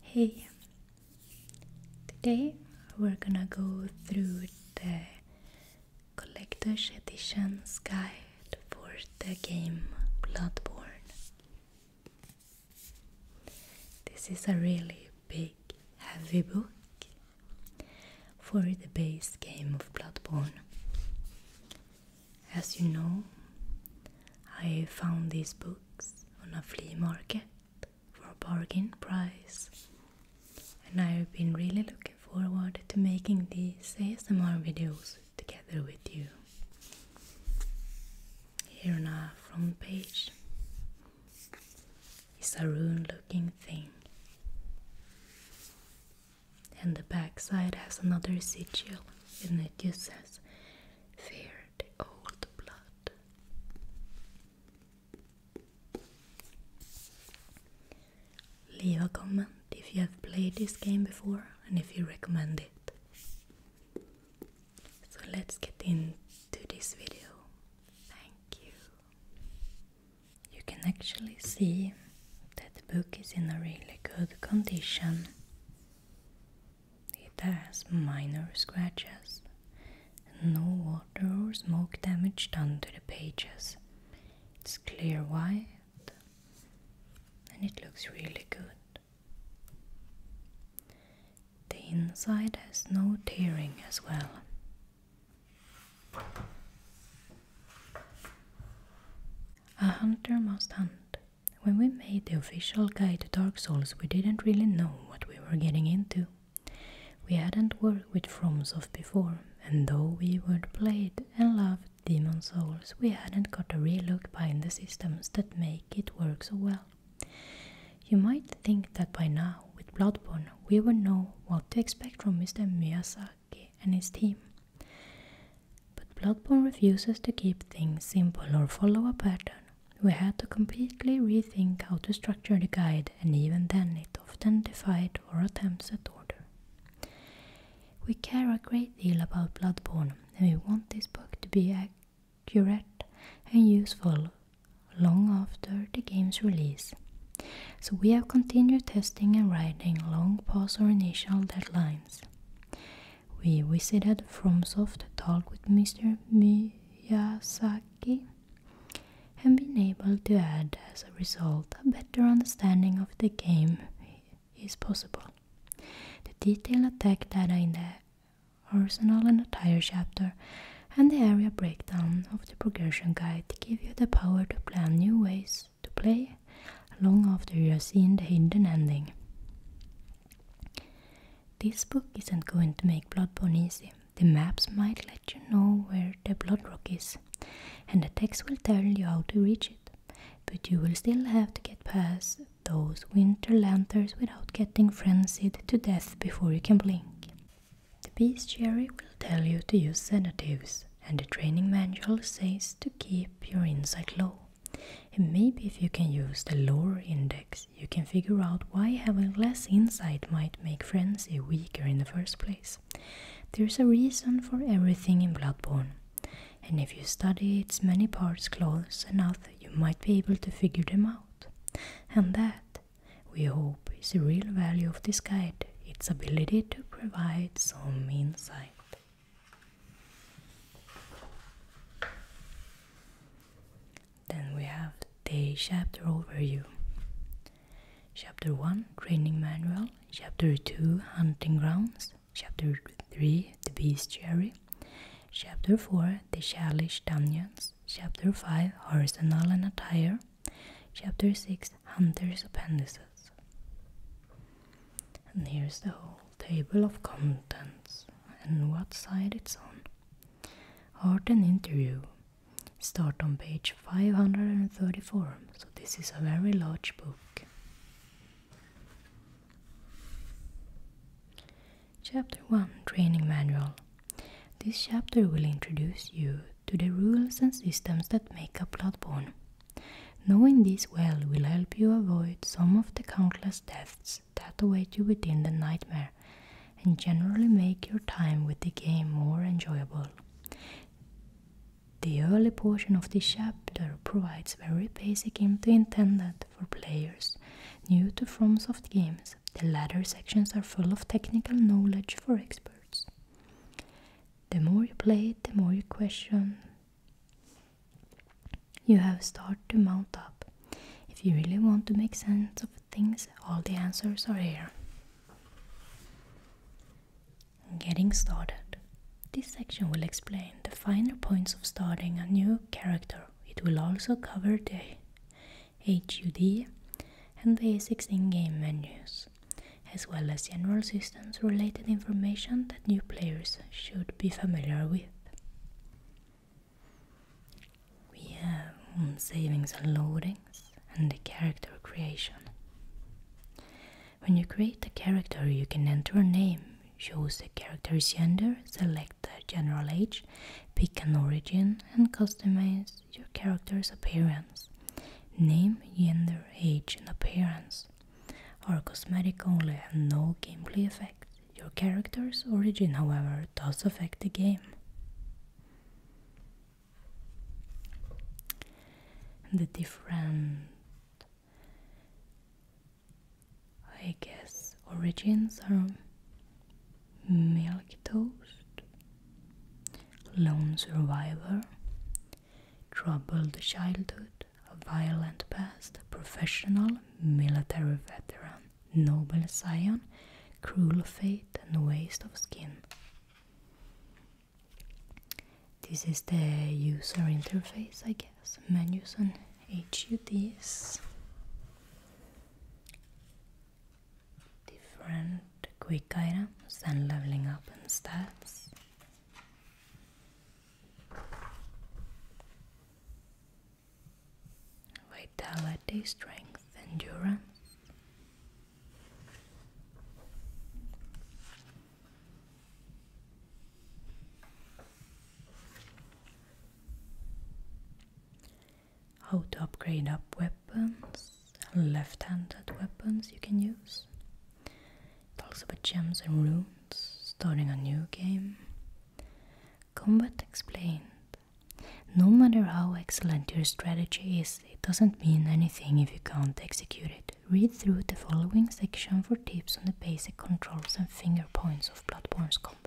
Hey, today we're gonna go through the Collector's Edition's Guide for the game Bloodborne. This is a really big, heavy book for the base game of Bloodborne. As you know, I found these books on a flea market for a bargain price, and I've been really looking forward to making these ASMR videos together with you. Here on our front page is a rune looking thing. And the backside has another sigil and it just says Fear Leave a comment if you have played this game before and if you recommend it. So let's get into this video. Thank you. You can actually see that the book is in a really good condition. It has minor scratches, and no water or smoke damage done to the pages. It's clear white, and it looks really good. The inside has no tearing as well. A hunter must hunt. When we made the official guide to Dark Souls, we didn't really know what we were getting into. We hadn't worked with FromSoft before, and though we would play and love Demon Souls, we hadn't got a real look behind the systems that make it work so well. You might think that by now, with Bloodborne, we would know what to expect from Mr. Miyazaki and his team. But Bloodborne refuses to keep things simple or follow a pattern. We had to completely rethink how to structure the guide, and even then, it often defied our attempts at order. We care a great deal about Bloodborne, and we want this book to be accurate and useful long after the game's release. So, we have continued testing and writing long past our initial deadlines. We visited soft talk with Mr. Miyazaki, and been able to add, as a result, a better understanding of the game is possible. The detailed attack data in the arsenal and attire chapter and the area breakdown of the progression guide give you the power to plan new ways to play long after you have seen the hidden ending. This book isn't going to make bloodbone easy. The maps might let you know where the bloodrock is, and the text will tell you how to reach it. But you will still have to get past those winter lanterns without getting frenzied to death before you can blink. The bestiary will tell you to use sedatives, and the training manual says to keep your insight low. And maybe if you can use the lore index you can figure out why having less insight might make Frenzy weaker in the first place. There's a reason for everything in Bloodborne, and if you study its many parts close enough, you might be able to figure them out. And that, we hope, is the real value of this guide its ability to provide some insight. Then we have the chapter overview. Chapter 1 Training Manual, Chapter 2 Hunting Grounds, Chapter 3 The Beast Bestiary, Chapter 4 The Chalish Dungeons, Chapter 5 Arsenal and Attire, Chapter 6 Hunter's Appendices. And here's the whole table of contents and what side it's on. Or an interview start on page 534, so this is a very large book. Chapter 1 Training Manual This chapter will introduce you to the rules and systems that make up Bloodborne. Knowing this well will help you avoid some of the countless deaths that await you within the nightmare and generally make your time with the game more enjoyable. The early portion of this chapter provides very basic info intended for players new to FromSoft games. The latter sections are full of technical knowledge for experts. The more you play the more you question you have started to mount up. If you really want to make sense of things, all the answers are here. Getting started. This section will explain the finer points of starting a new character. It will also cover the HUD and basics in game menus, as well as general systems related information that new players should be familiar with. We have on savings and loadings and the character creation. When you create a character, you can enter a name, choose the character's gender, select the general age, pick an origin, and customize your character's appearance. Name, gender, age, and appearance are cosmetic only and no gameplay effects. Your character's origin, however, does affect the game. The different, I guess, origins are milk toast, lone survivor, troubled childhood, violent past, professional military veteran noble scion, cruel fate and waste of skin. This is the user interface, I guess. Menus and HUDs. Different quick items and leveling up and stats vitality, strength, endurance. How to upgrade up weapons, left handed weapons you can use. Talks about gems and runes, starting a new game, Combat explained No matter how excellent your strategy is, it doesn't mean anything if you can't execute it. Read through the following section for tips on the basic controls and finger points of Bloodborne's combat.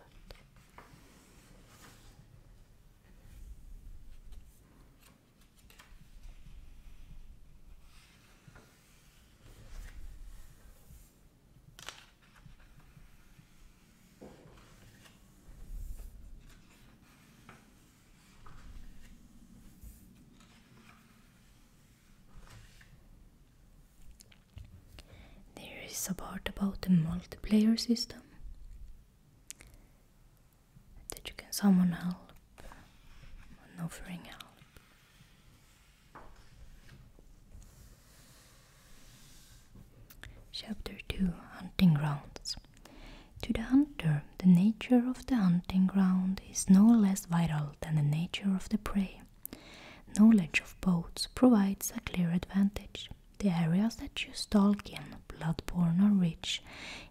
There is a part about the multiplayer system that you can summon help offering help. Chapter 2 Hunting Grounds To the hunter, the nature of the hunting ground is no less vital than the nature of the prey. Knowledge of both provides a clear advantage. The areas that you stalk in, blood borne, or rich,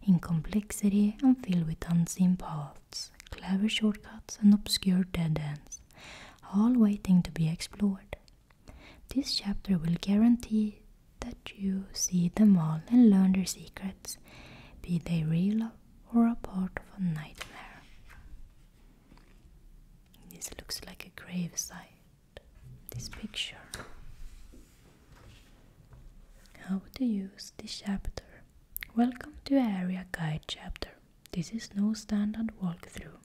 in complexity and filled with unseen paths, clever shortcuts and obscure dead ends, all waiting to be explored. This chapter will guarantee that you see them all and learn their secrets, be they real or a part of a nightmare. This looks like a gravesite, this picture. How to use this chapter. Welcome to Area Guide chapter. This is no standard walkthrough,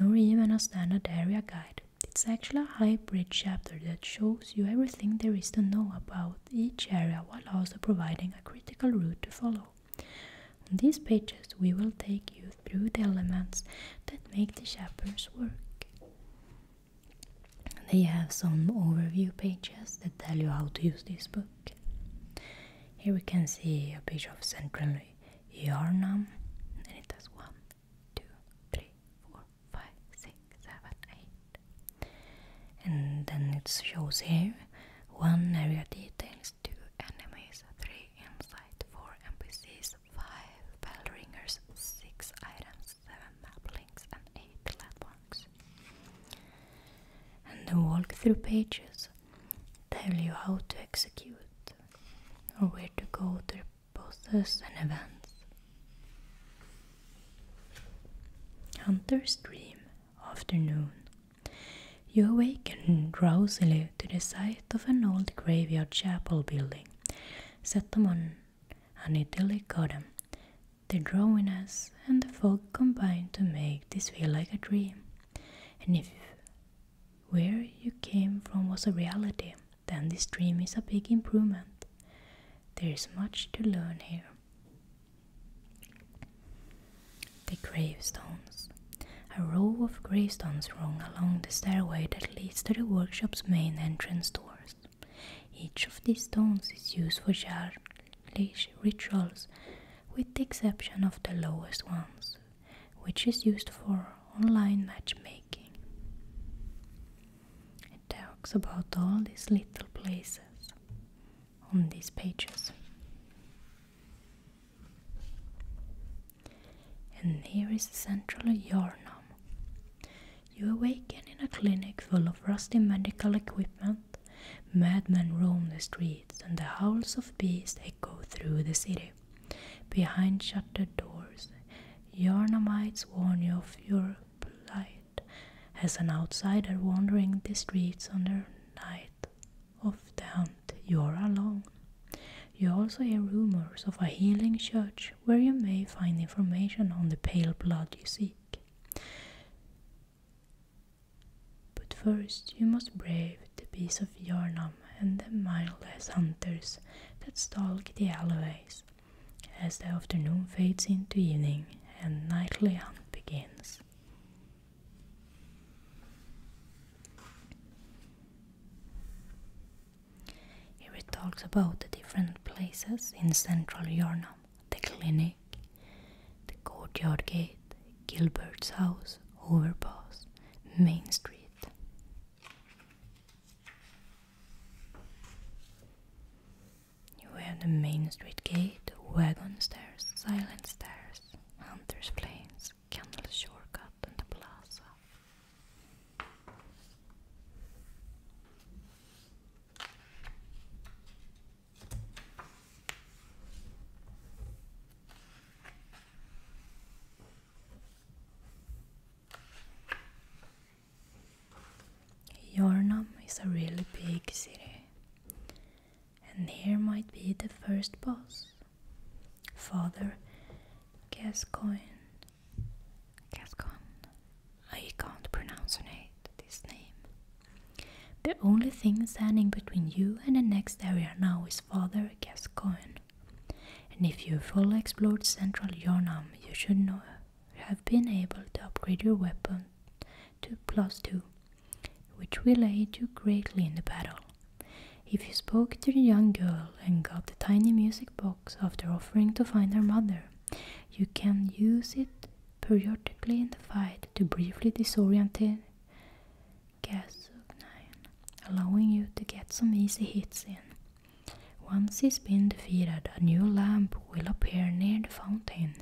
nor even a standard area guide. It's actually a hybrid chapter that shows you everything there is to know about each area while also providing a critical route to follow. On these pages, we will take you through the elements that make the chapters work. They have some overview pages that tell you how to use this book. Here we can see a page of Central your name, and it does one, two, three, four, five, six, seven, eight, And then it shows here 1 area details, 2 enemies, 3 insight, 4 NPCs, 5 bell ringers, 6 items, 7 map links, and 8 platforms, And the walkthrough pages tell you how to execute or where to go to the and events. Hunter's dream afternoon. You awaken drowsily to the sight of an old graveyard chapel building set among an idyllic garden. The drawiness and the fog combine to make this feel like a dream. And if where you came from was a reality, then this dream is a big improvement. There is much to learn here. The gravestones. A row of gravestones run along the stairway that leads to the workshop's main entrance doors. Each of these stones is used for yearly rituals, with the exception of the lowest ones, which is used for online matchmaking. It talks about all these little places on these pages. And here is the central Yarnum. You awaken in a clinic full of rusty medical equipment. Madmen roam the streets, and the howls of beasts echo through the city. Behind shuttered doors, Yornamites warn you of your plight as an outsider wandering the streets on the night of the hunt. You're alone. You also hear rumors of a healing church where you may find information on the pale blood you seek. But first, you must brave the beast of Yarnam and the mindless hunters that stalk the alleys, as the afternoon fades into evening and nightly hunt begins. He talks about the different places in central Yornam the clinic, the courtyard gate, Gilbert's House, Overpass, Main Street. You have the Main Street Gate, Wagon Stairs, Silent Stairs, Hunter's Plains, Candle Shortcut, and the Plaza. Jornam is a really big city, and here might be the first boss, Father Gascoigne. Gascon. I can't pronounce it. this name. The only thing standing between you and the next area now is Father Gascoigne. And if you fully explored central Yornam, you should have been able to upgrade your weapon to plus 2, which will aid you greatly in the battle. If you spoke to the young girl and got the tiny music box after offering to find her mother, you can use it periodically in the fight to briefly disorient disorientate Gas of 9, allowing you to get some easy hits in. Once he's been defeated, a new lamp will appear near the fountain.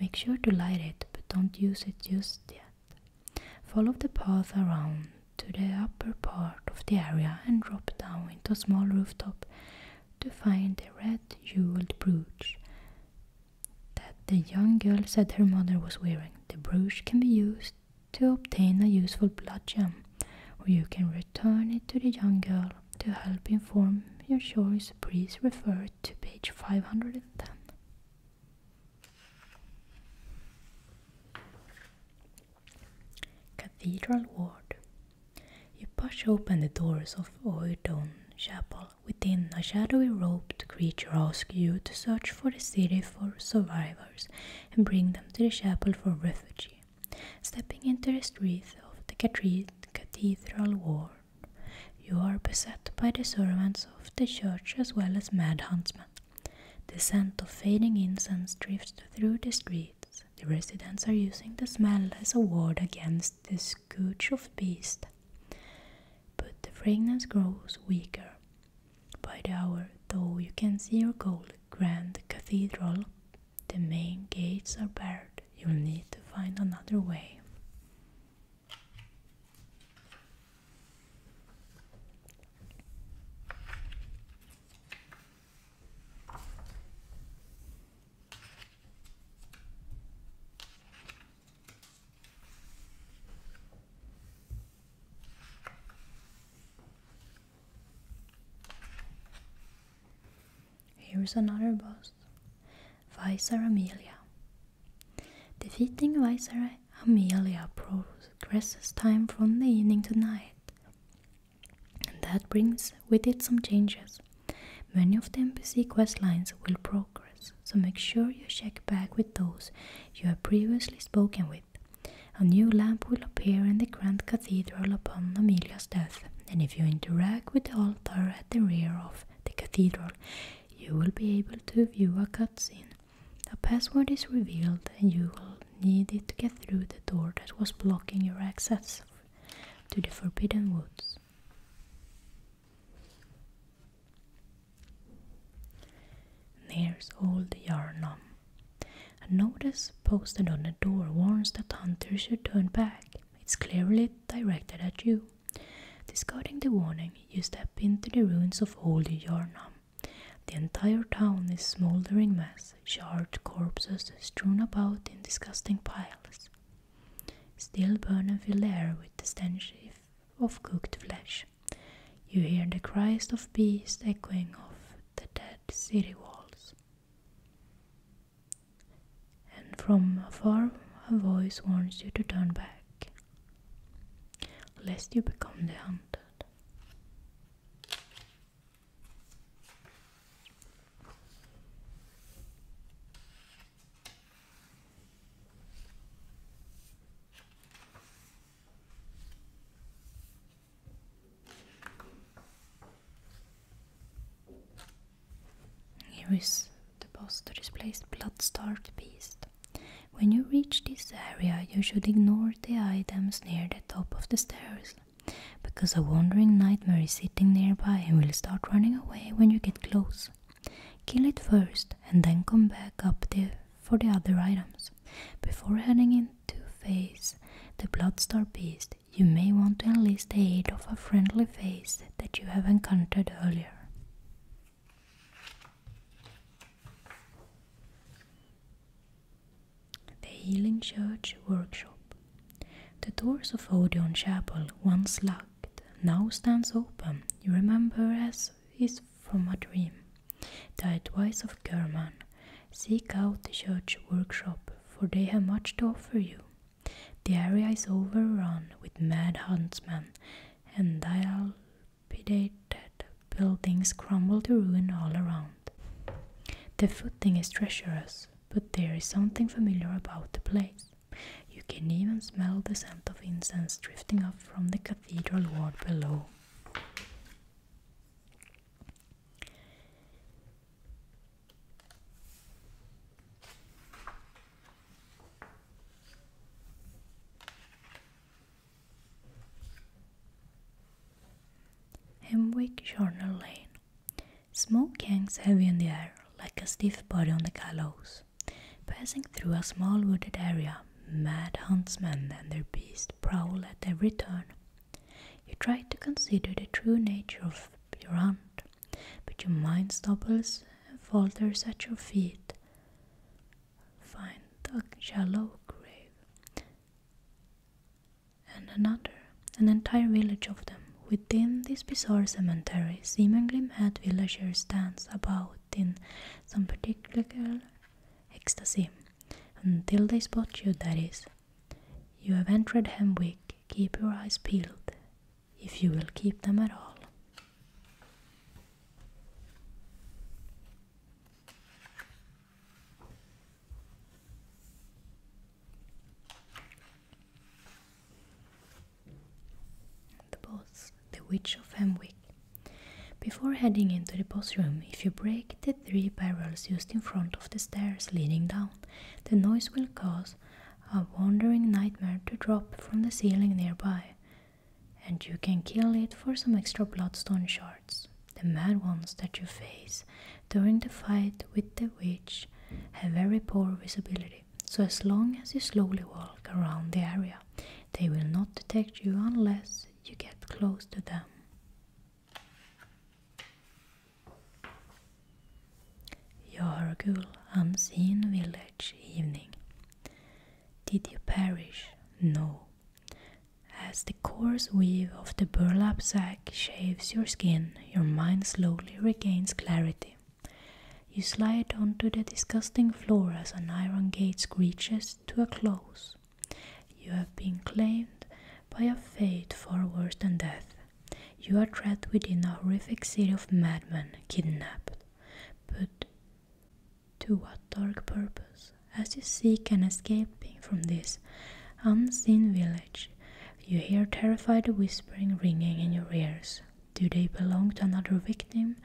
Make sure to light it, but don't use it just yet. Follow the path around to the upper part of the area and drop down into a small rooftop to find the red jeweled brooch that the young girl said her mother was wearing. The brooch can be used to obtain a useful blood gem, or you can return it to the young girl to help inform your choice. Please refer to page 510. Cathedral Ward. You push open the doors of Oydon Chapel. Within, a shadowy robed creature asks you to search for the city for survival and bring them to the chapel for refuge. Stepping into the streets of the cathedral ward, you are beset by the servants of the church as well as mad huntsmen. The scent of fading incense drifts through the streets. The residents are using the smell as a ward against the scourge of beasts. But the fragrance grows weaker. By the hour, though, you can see your gold grand cathedral. The main gates are barred. You'll need to find another way. Here's another boss, Vicer Amelia. Defeating Vicer Amelia progresses time from the evening to night, and that brings with it some changes. Many of the NPC quest lines will progress, so make sure you check back with those you have previously spoken with. A new lamp will appear in the grand cathedral upon Amelia's death, and if you interact with the altar at the rear of the cathedral, you will be able to view a cutscene. A password is revealed, and you will need it to get through the door that was blocking your access to the Forbidden Woods. There's old Yarnum. A notice posted on the door warns that hunters should turn back. It's clearly directed at you. Discarding the warning, you step into the ruins of old Yarnum. The entire town is smoldering mass, charred corpses strewn about in disgusting piles. Still Burnham fill the with the stench of cooked flesh. You hear the cries of beasts echoing off the dead city walls. And from afar a voice warns you to turn back, lest you become the hunted. Here is the poster displaced blood-starved beast. When you reach this area, you should ignore the items near the top of the stairs, because a wandering nightmare is sitting nearby and will start running away when you get close. Kill it first and then come back up there for the other items. Before heading in to face the Bloodstar Beast, you may want to enlist the aid of a friendly face that you have encountered earlier. The Healing Church Workshop. The doors of Odeon Chapel, once locked, now stands open. You remember as his from a dream. The advice of German Seek out the church workshop, for they have much to offer you. The area is overrun with mad huntsmen, and dilapidated buildings crumble to ruin all around. The footing is treacherous, but there is something familiar about the place. You can even smell the scent of incense drifting up from the cathedral ward below. Hemwick Journal Lane. Smoke hangs heavy in the air, like a stiff body on the gallows. Passing through a small wooded area, mad huntsmen and their beasts prowl at every turn. You try to consider the true nature of your hunt, but your mind stumbles and falters at your feet. Find a shallow grave and another, an entire village of them. Within this bizarre cemetery, seemingly mad villagers dance about in some particular ecstasy, until they spot you, that is. You have entered Hemwick, keep your eyes peeled, if you will keep them at all. The boss the Witch of Hemwick. Before heading into the boss room, if you break the three barrels used in front of the stairs leading down, the noise will cause a wandering nightmare to drop from the ceiling nearby, and you can kill it for some extra bloodstone shards. The mad ones that you face during the fight with the witch have very poor visibility, so as long as you slowly walk around the area, they will not detect you unless you get close to them. Jorgul Unseen Village Evening. Did you perish? No. As the coarse weave of the burlap sack shaves your skin, your mind slowly regains clarity. You slide onto the disgusting floor as an iron gate screeches to a close. You have been claimed by a fate far worse than death. You are trapped within a horrific city of madmen, kidnapped. But to what dark purpose? As you seek an escape from this unseen village, you hear terrified whispering ringing in your ears. Do they belong to another victim,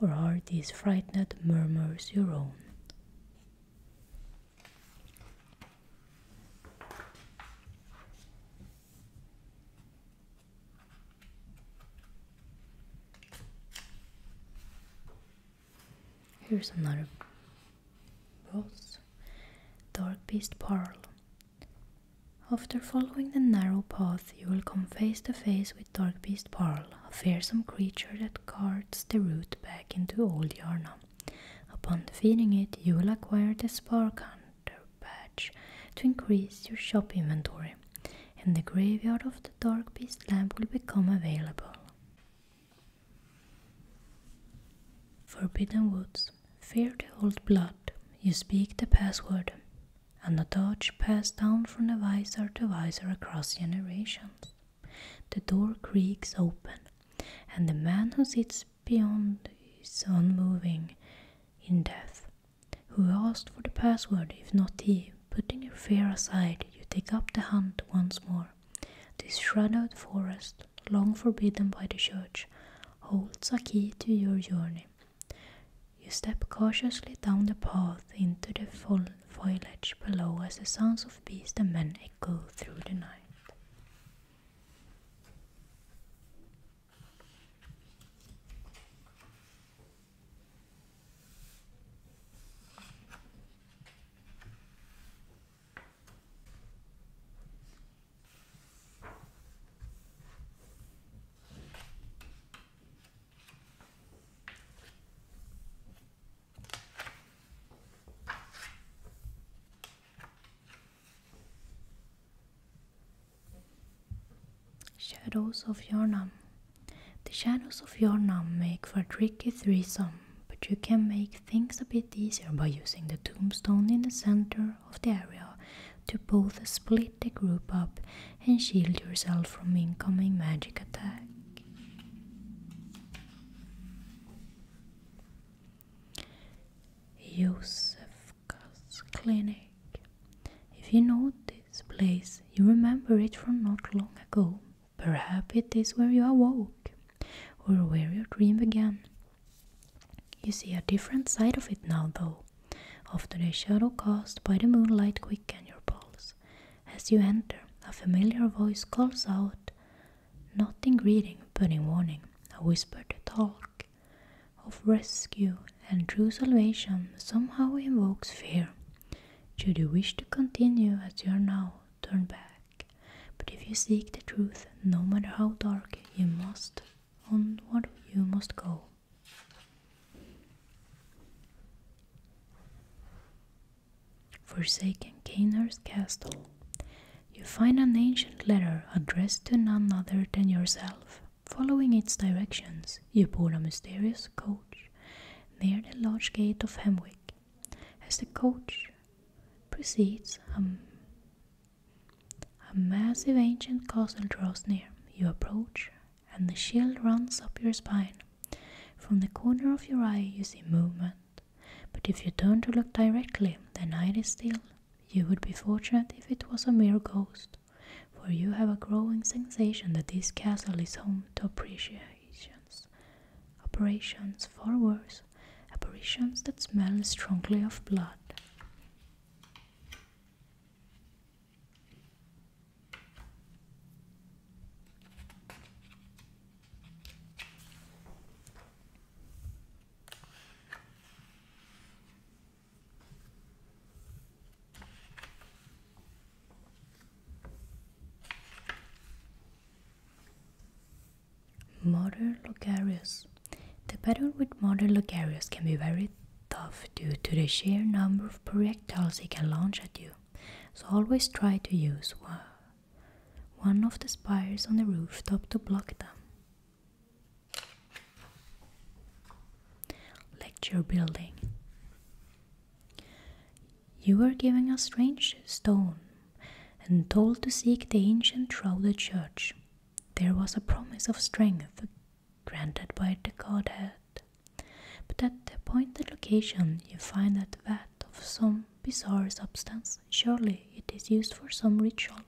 or are these frightened murmurs your own? Here's another boss, dark beast pearl. After following the narrow path, you will come face to face with. Dark Beast Pearl, a fearsome creature that carts the route back into Old Yarna. Upon defeating it, you will acquire the Spark Hunter badge to increase your shop inventory, and the graveyard of the Dark Beast lamp will become available. Forbidden Woods Fear the old blood, you speak the password, and the torch passed down from the visor to visor across generations. The door creaks open, and the man who sits beyond is unmoving in death. Who asked for the password, if not he? Putting your fear aside, you take up the hunt once more. This shadowed forest, long forbidden by the church, holds a key to your journey. You step cautiously down the path into the fol foliage below as the sounds of beasts and men echo through the night. Shadows of Yarnam. The shadows of Yarnam make for tricky threesome, but you can make things a bit easier by using the tombstone in the center of the area to both split the group up and shield yourself from incoming magic attack. Josefka's Clinic. If you know this place, you remember it from not long ago. Perhaps it is where you awoke, or where your dream began. You see a different side of it now, though, after the shadow cast by the moonlight quicken your pulse. As you enter, a familiar voice calls out, not in greeting but in warning, a whispered talk of rescue and true salvation somehow evokes fear. Should you wish to continue as you are now, turn back. But if you seek the truth, no matter how dark, you must onward you must go forsaken Canaan's castle, you find an ancient letter addressed to none other than yourself. Following its directions, you board a mysterious coach near the lodge gate of Hemwick. As the coach proceeds, a, a massive ancient castle draws near. You approach, and the chill runs up your spine. From the corner of your eye, you see movement, but if you turn to look directly, the night is still. You would be fortunate if it was a mere ghost, for you have a growing sensation that this castle is home to appreciations, operations far worse, apparitions that smell strongly of blood. Modern Logarius. The battle with modern Logarius can be very tough due to the sheer number of projectiles he can launch at you so always try to use one of the spires on the rooftop to block them. Lecture building. You were given a strange stone and told to seek the ancient shrouded church. There was a promise of strength granted by the godhead but at the appointed location, you find a vat of some bizarre substance. Surely it is used for some ritual.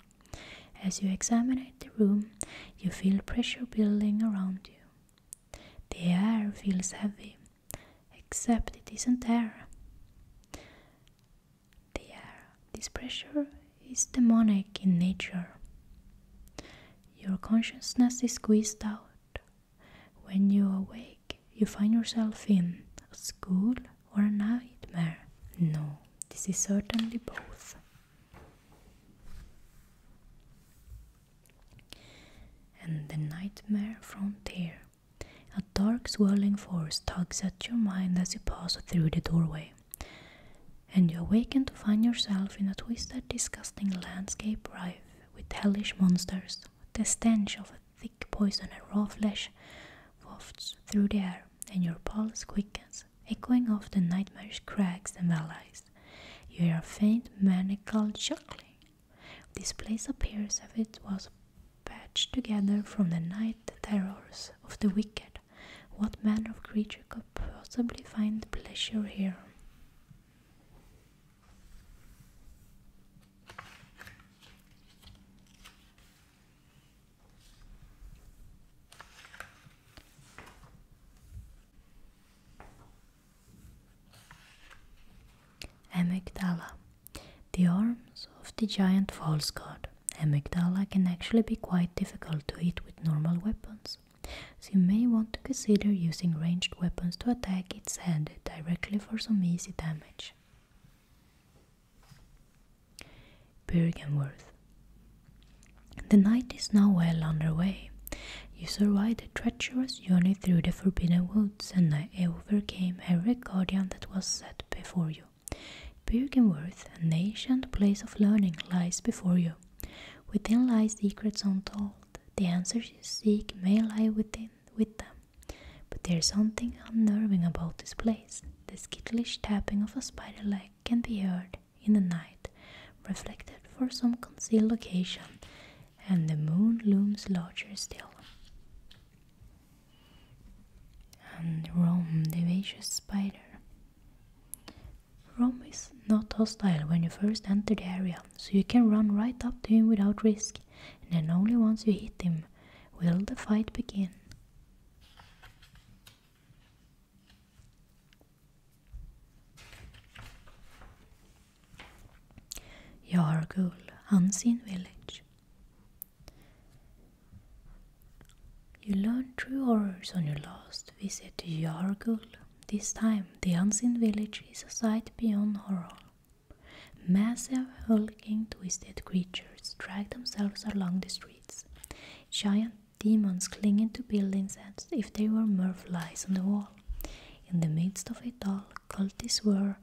As you examine the room, you feel pressure building around you. The air feels heavy, except it isn't air. The air, this pressure is demonic in nature. Your consciousness is squeezed out, when you awake, you find yourself in a school or a nightmare. No, this is certainly both. And the nightmare frontier. A dark, swirling force tugs at your mind as you pass through the doorway, and you awaken to find yourself in a twisted, disgusting landscape rife with hellish monsters. The stench of thick poison and raw flesh wafts through the air, and your pulse quickens, echoing off the nightmarish cracks and valleys. You hear faint maniacal chuckling. This place appears as if it was patched together from the night terrors of the wicked. What man or creature could possibly find pleasure here? Amygdala. The arms of the giant false god. Amygdala can actually be quite difficult to hit with normal weapons, so you may want to consider using ranged weapons to attack its head directly for some easy damage. Bergenworth. The night is now well under way. You survived a treacherous journey through the forbidden woods and overcame every guardian that was set before you. Bergenworth, an ancient place of learning, lies before you. Within lies secrets untold. The answers you seek may lie within with them. But there's something unnerving about this place. The skittish tapping of a spider leg can be heard in the night, reflected for some concealed location, and the moon looms larger still. And Rome, the vicious spider. Rome is not hostile when you first enter the area so you can run right up to him without risk, and then only once you hit him will the fight begin. Yargul, Unseen Village. You learned true horrors on your last visit to Yargul. This time, the Unseen Village is a sight beyond horror. Massive, hulking, twisted creatures drag themselves along the streets. Giant demons clinging to buildings as if they were mere flies on the wall. In the midst of it all, cultists whirl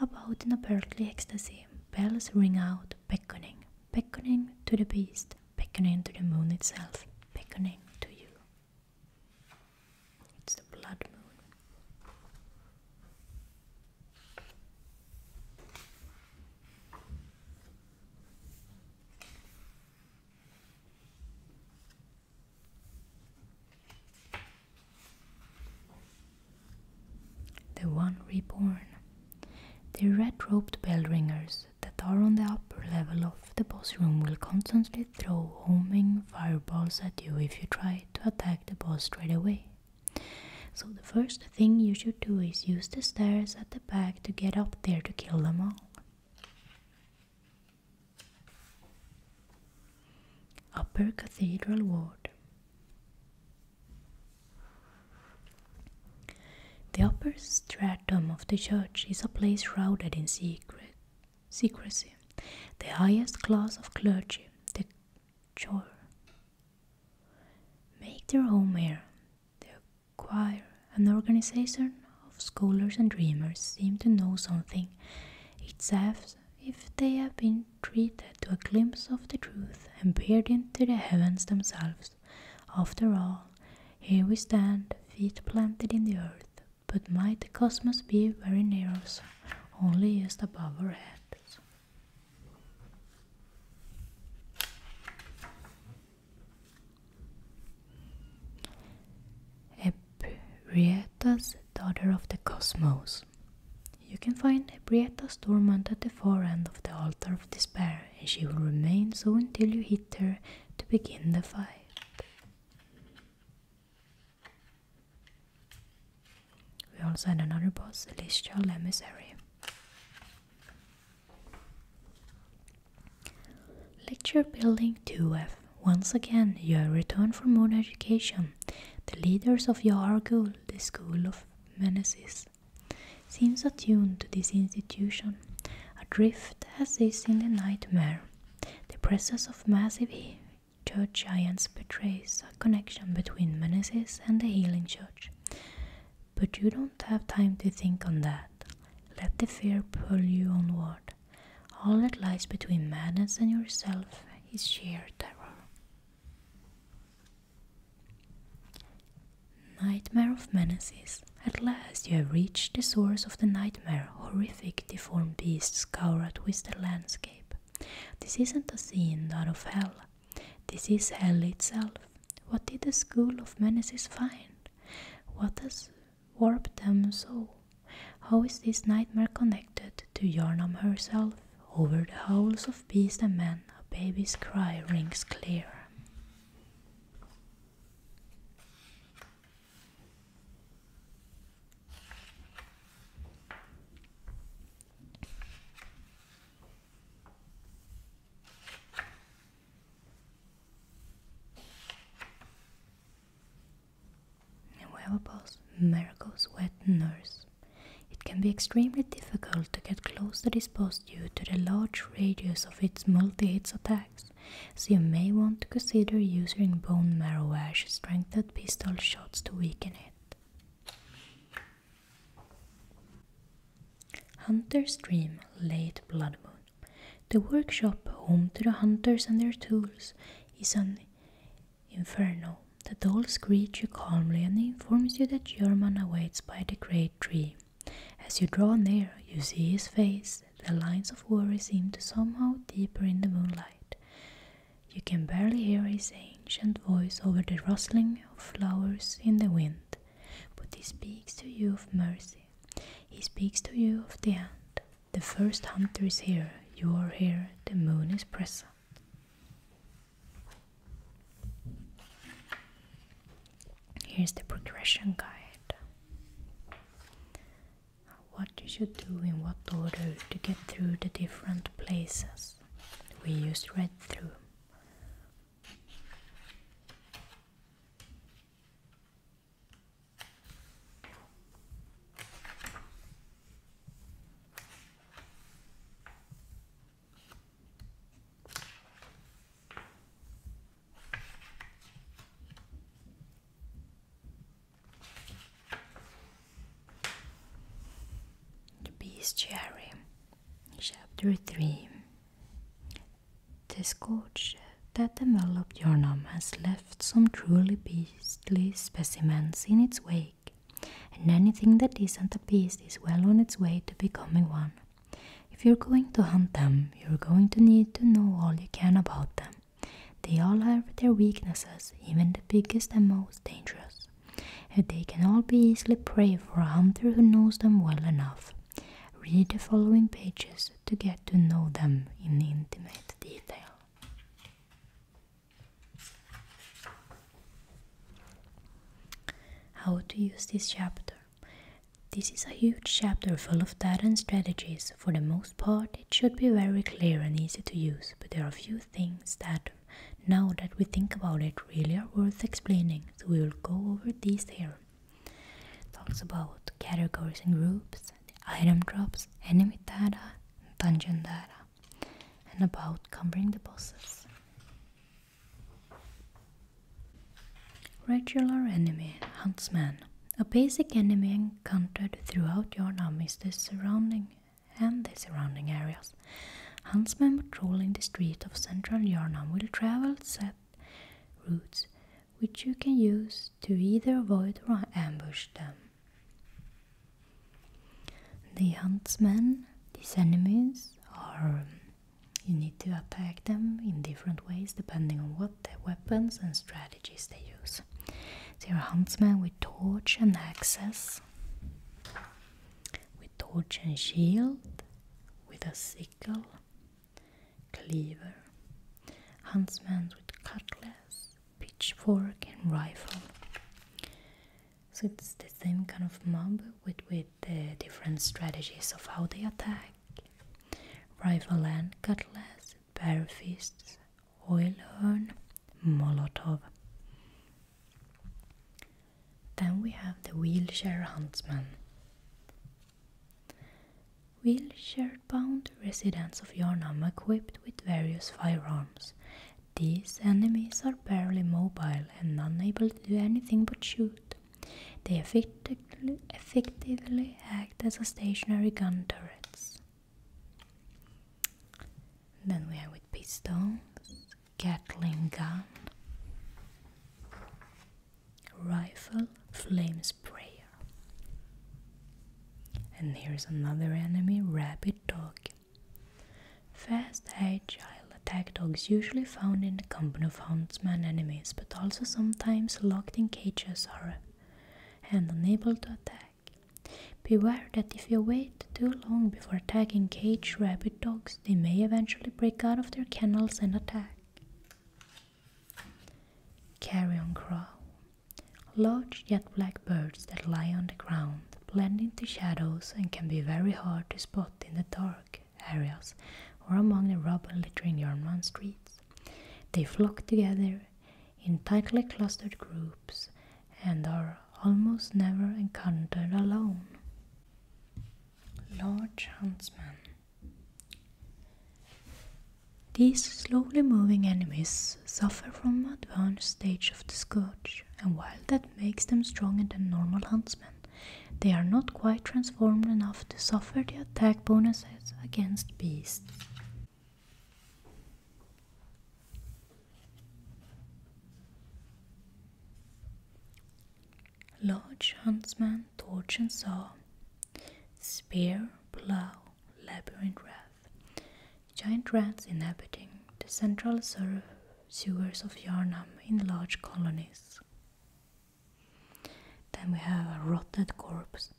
about in apparently ecstasy. Bells ring out, beckoning, beckoning to the beast, beckoning to the moon itself, beckoning to you. It's the blood moon. The One Reborn. The red robed bell ringers that are on the upper level of the boss room will constantly throw homing fireballs at you if you try to attack the boss straight away. So, the first thing you should do is use the stairs at the back to get up there to kill them all. Upper Cathedral Ward The upper stratum of the church is a place shrouded in secret secrecy. The highest class of clergy, the choir, make their home here. The choir, an organization of scholars and dreamers, seem to know something. It's as if they have been treated to a glimpse of the truth and peered into the heavens themselves. After all, here we stand, feet planted in the earth, but might the cosmos be very near us, only just above our heads? Eprietas, daughter of the cosmos. You can find Eprietas dormant at the far end of the altar of despair, and she will remain so until you hit her to begin the fight. We also had another boss, Celestial Emissary. Lecture Building 2F. Once again, you have returned for more education. The leaders of your Yargul, the School of Menaces, seems attuned to this institution. Adrift as is in the nightmare, the presence of massive church giants betrays a connection between menaces and the healing church. But you don't have time to think on that. Let the fear pull you onward. All that lies between madness and yourself is sheer terror. Nightmare of menaces. At last you have reached the source of the nightmare. Horrific, deformed beasts scour a twisted landscape this isn't a scene out of hell. This is hell itself. What did the school of menaces find? What has warped them so? How is this nightmare connected to Yarnam herself? Over the howls of beast and man, a baby's cry rings clear. Nuevable's Marigold's wet nurse. It can be extremely difficult to get close to this boss due to the large radius of its multi hit attacks, so you may want to consider using bone marrow ash strength pistol shots to weaken it. Hunter's Dream Late Blood Moon. The workshop, home to the hunters and their tools, is an inferno. The doll greets you calmly and informs you that German awaits by the great tree. As you draw near, you see his face. The lines of worry seem to somehow deeper in the moonlight. You can barely hear his ancient voice over the rustling of flowers in the wind, but he speaks to you of mercy. He speaks to you of the hunt. The first hunter is here, you are here, the moon is present. Here's the progression guide what you should do in what order to get through the different places we used read through. The Bestiary, Chapter 3 The scourge that enveloped Yarnum has left some truly beastly specimens in its wake, and anything that isn't a beast is well on its way to becoming one. If you're going to hunt them, you're going to need to know all you can about them, they all have their weaknesses, even the biggest and most dangerous. And they can all be easily prey for a hunter who knows them well enough. Read the following pages to get to know them in intimate detail. How to use this chapter. This is a huge chapter full of data and strategies for the most part, it should be very clear and easy to use, but there are a few things that, now that we think about it, really are worth explaining, so we will go over these here. It talks about categories and groups, item drops, enemy data, dungeon data, and about covering the bosses. Regular enemy, huntsman. A basic enemy encountered throughout Yarnum is the surrounding and the surrounding areas. Huntsmen patrolling the streets of central Yarnam will travel set routes which you can use to either avoid or ambush them. The huntsmen, these enemies, are um, you need to attack them in different ways depending on what weapons and strategies they use. There are huntsmen with torch and axes, with torch and shield, with a sickle, cleaver, huntsman with cutlass, pitchfork, and rifle. So it's the same kind of mob with, with the different strategies of how they attack rifle and cutlass, bare fists, oil urn, Molotov. Then we have the wheelchair huntsman. Wheelchair bound residents of Yarnam equipped with various firearms. These enemies are barely mobile and unable to do anything but shoot. They effectively, act as stationary gun turrets. Then we are with piston, Gatling gun, rifle, flame sprayer. And here's another enemy, rabid dog. Fast, agile attack dogs usually found in the company of huntsman enemies, but also sometimes locked in cages or, and unable to attack. Beware that if you wait too long before tagging cage rabbit dogs, they may eventually break out of their kennels and attack. Carrion crow. Large yet black birds that lie on the ground, blend into shadows and can be very hard to spot in the dark areas or among the rubble littering Yarmouth streets. They flock together in tightly clustered groups and are almost never encountered alone. Large huntsmen. These slowly moving enemies suffer from advanced stage of the scourge, and while that makes them stronger than normal huntsmen, they are not quite transformed enough to suffer the attack bonuses against beasts. Large huntsman, torch and saw, spear, plough, labyrinth rath, giant rats inhabiting the central sewers of Yarnam in large colonies. Then we have a rotted corpse,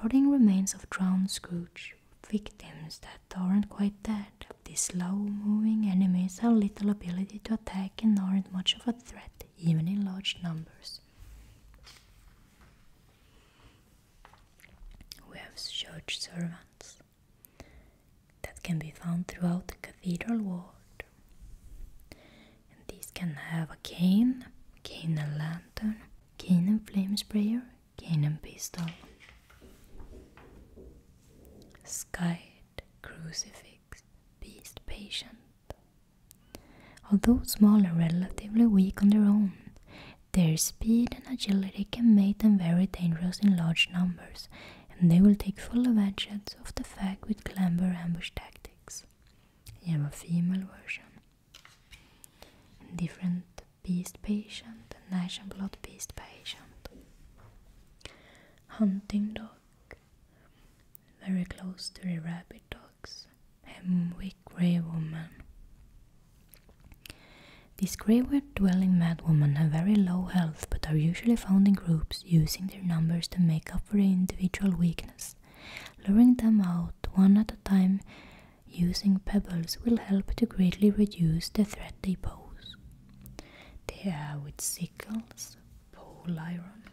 rotting remains of drowned Scrooge, victims that aren't quite dead. These slow-moving enemies have little ability to attack and aren't much of a threat, even in large numbers. We have church servants that can be found throughout the cathedral ward. And these can have a cane, cane and lantern, cane and flame sprayer, cannon pistol, skyed crucifix, beast patient. Although small and relatively weak on their own, their speed and agility can make them very dangerous in large numbers, and they will take full advantage of the fact with clamber ambush tactics. I have a female version, and different beast patient and blood beast patient. Hunting dog, very close to the rabbit dogs. weak grey woman. These graveyard dwelling mad have very low health but are usually found in groups using their numbers to make up for individual weakness, luring them out one at a time using pebbles will help to greatly reduce the threat they pose. They are with sickles, pole iron,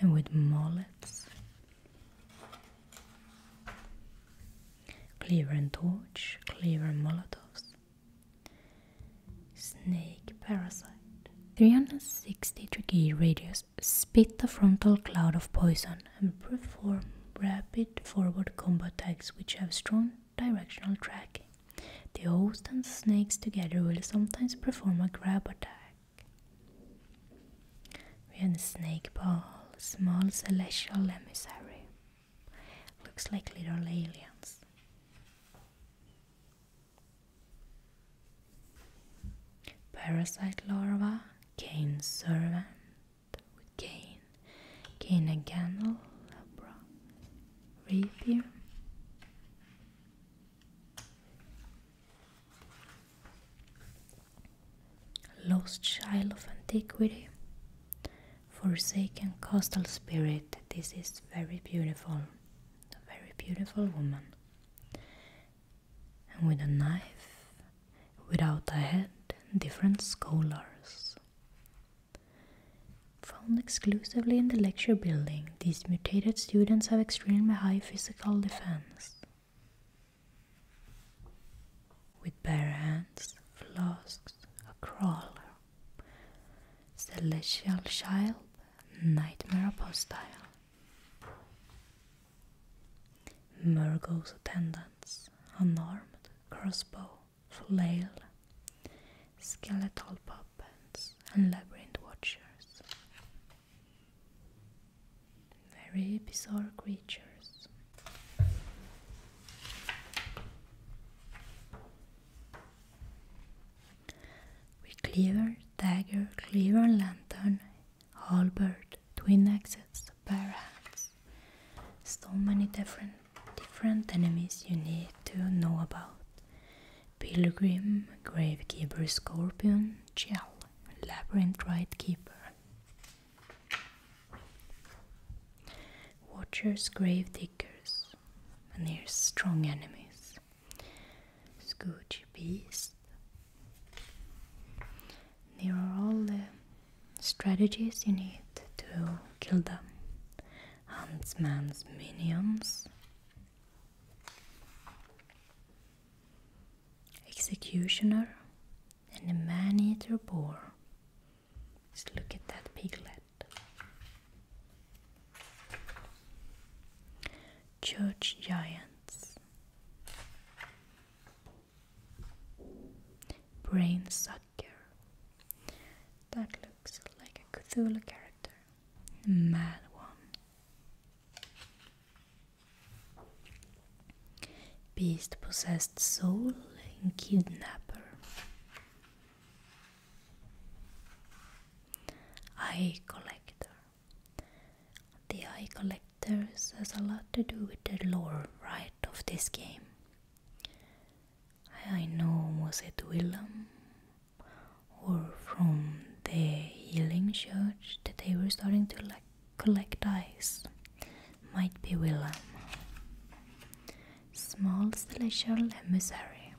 and with mallets, cleaver and torch, clever molotovs, snake parasite. 360 degree radius spit the frontal cloud of poison and perform rapid forward combat attacks which have strong directional tracking. The host and snakes together will sometimes perform a grab attack. We have the snake ball, small celestial emissary. Looks like little aliens. Parasite larva, cane servant, Gain, gain again, all Labra, Rapier. Lost Child of Antiquity, Forsaken Coastal Spirit. This is very beautiful, very beautiful woman. And with a knife, without a head different scholars. Found exclusively in the lecture building, these mutated students have extremely high physical defense. With bare hands, flasks, a crawler, celestial child, nightmare apostile. Murgo's attendants, unarmed, crossbow, flail, skeletal puppets, and labyrinth watchers. Very bizarre creatures. With Cleaver, dagger, cleaver, lantern, halberd, twin axes, parrots. So many different different enemies you need to know about. Pilgrim, Gravekeeper Scorpion, Gel, Labyrinth Right Keeper. Watchers, Grave Diggers, and here's strong enemies. Scooch Beast. There are all the strategies you need to kill them: huntsman's minions. Executioner and the man-eater boar. Just look at that piglet. Church giants. Brain Sucker. That looks like a Cthulhu character. Mad one. Beast possessed soul and kidnapper. Eye collector. The eye collector there's has a lot to do with the lore, right, of this game. I know was it Willem or from the healing church that they were starting to like collect eyes. Might be Willem. Small celestial emissary.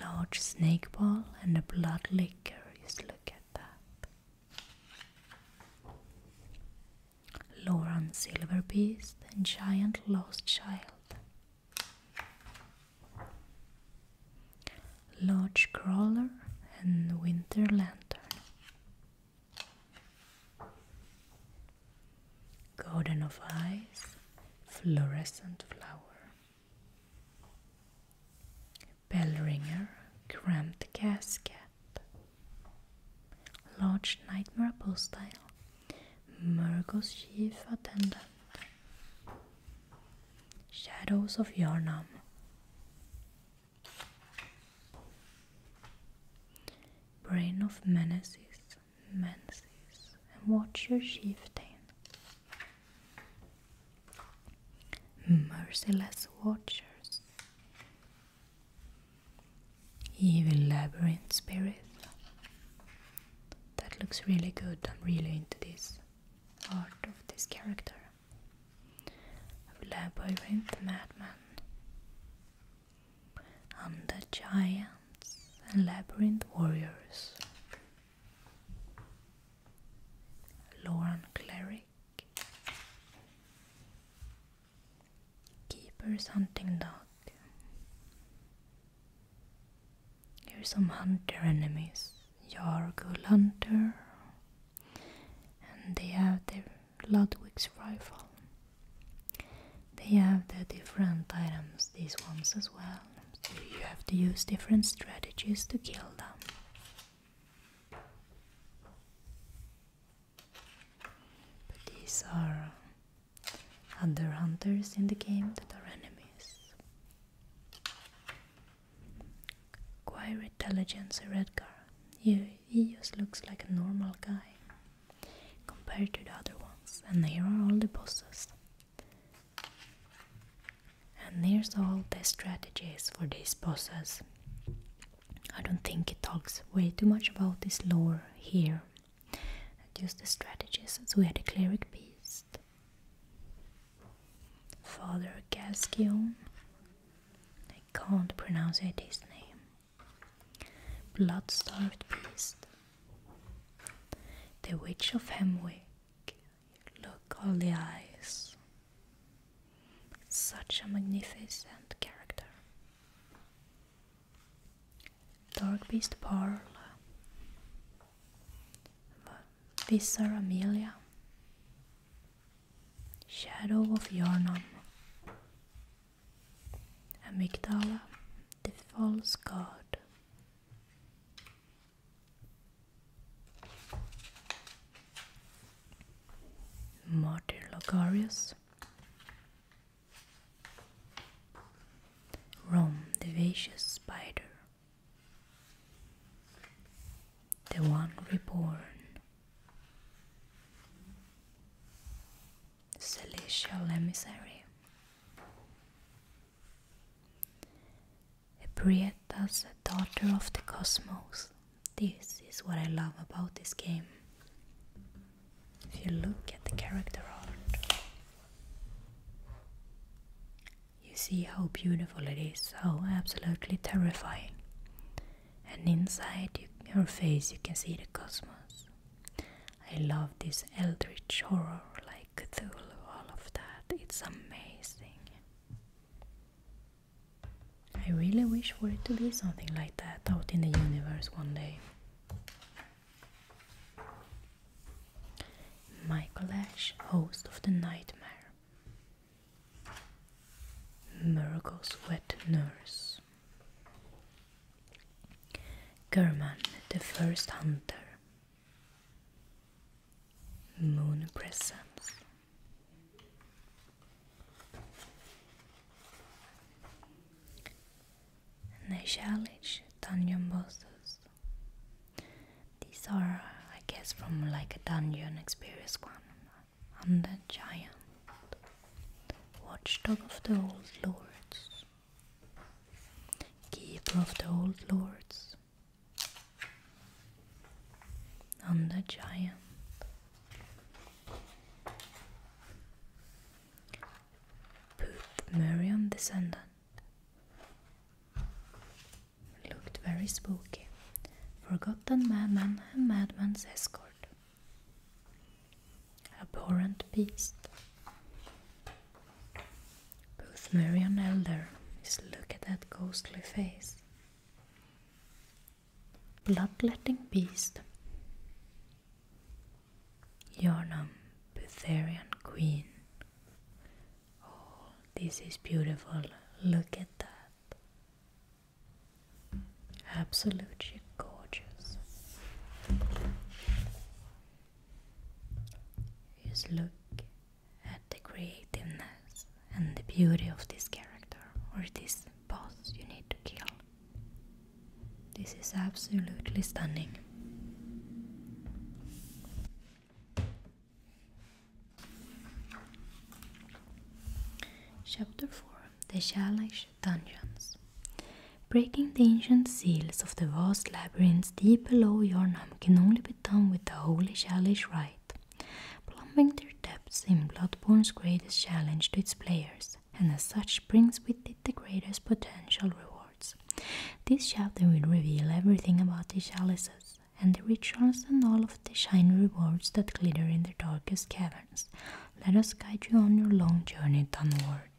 Large snake ball and a blood liquor. Just look at that. Lauren Silverbeast and Giant Lost Child. Lodge Crawler and Winter Lantern. Garden of Ice, Fluorescent Flower. Bell Ringer, Cramped Casket. Lodge Nightmare Postal, Murgo's Chief Attendant, Shadows of Yarnam, Brain of Menaces, Menaces, Watch your Chieftain, Merciless Watchers, even Labyrinth Spirit. That looks really good. I'm really into this art of this character. Of Labyrinth Madman. Undead Giants and Labyrinth Warriors. Lauren Cleric. Brick Hunting Dog Here's some hunter enemies good Hunter and they have their Ludwig's rifle. They have the different items, these ones as well. you have to use different strategies to kill them. But these are other uh, hunters in the game that are enemies. Quite intelligent, a red car. he just looks like a normal guy compared to the other ones. And here are all the bosses. And here's all the strategies for these bosses. I don't think it talks way too much about this lore here, just the strategies. So we had a cleric beast, Father Gascion. I can't pronounce his name. Blood-starved beast, the witch of Hemwick. Look all the eyes. Such a magnificent character. Dark Beast Pearl, Visser Amelia, Shadow of Yarnum, Amygdala, the False God. Martyr Logarius, Rome, the vicious spider. The one reborn. Celestial emissary. Eprietas, daughter of the cosmos. This is what I love about this game. If you look at the character art, you see how beautiful it is, how absolutely terrifying. And inside you, your face, you can see the cosmos. I love this eldritch horror like Cthulhu, all of that. It's amazing. I really wish for it to be something like that out in the universe one day. Michael Ash, host of The Nightmare. Murgo's Wet Nurse. German, the First Hunter. Moon Presence. Neshalish dungeon bosses. These are, I guess, from like a dungeon experience one. i the giant watchdog of the old lords, keeper of the old lords. i the giant Marion descendant looked very spooky. Forgotten madman and madman's escort. Abhorrent beast. Both Marion Elder, just look at that ghostly face bloodletting beast. Yarnum, Butharian Queen. Oh, this is beautiful. Look at that. Absolutely gorgeous. Just look at the creativeness and the beauty of this character or this boss you need to kill. This is absolutely stunning. Chapter 4 The Shalish Dungeons Breaking the ancient seals of the vast labyrinths deep below Yarnam can only be done with the holy Shalish rite. Plumbing their depths is Bloodborne's greatest challenge to its players, and as such brings with it the greatest potential rewards. This chapter will reveal everything about the chalices and the rituals and all of the shiny rewards that glitter in the darkest caverns. Let us guide you on your long journey downward.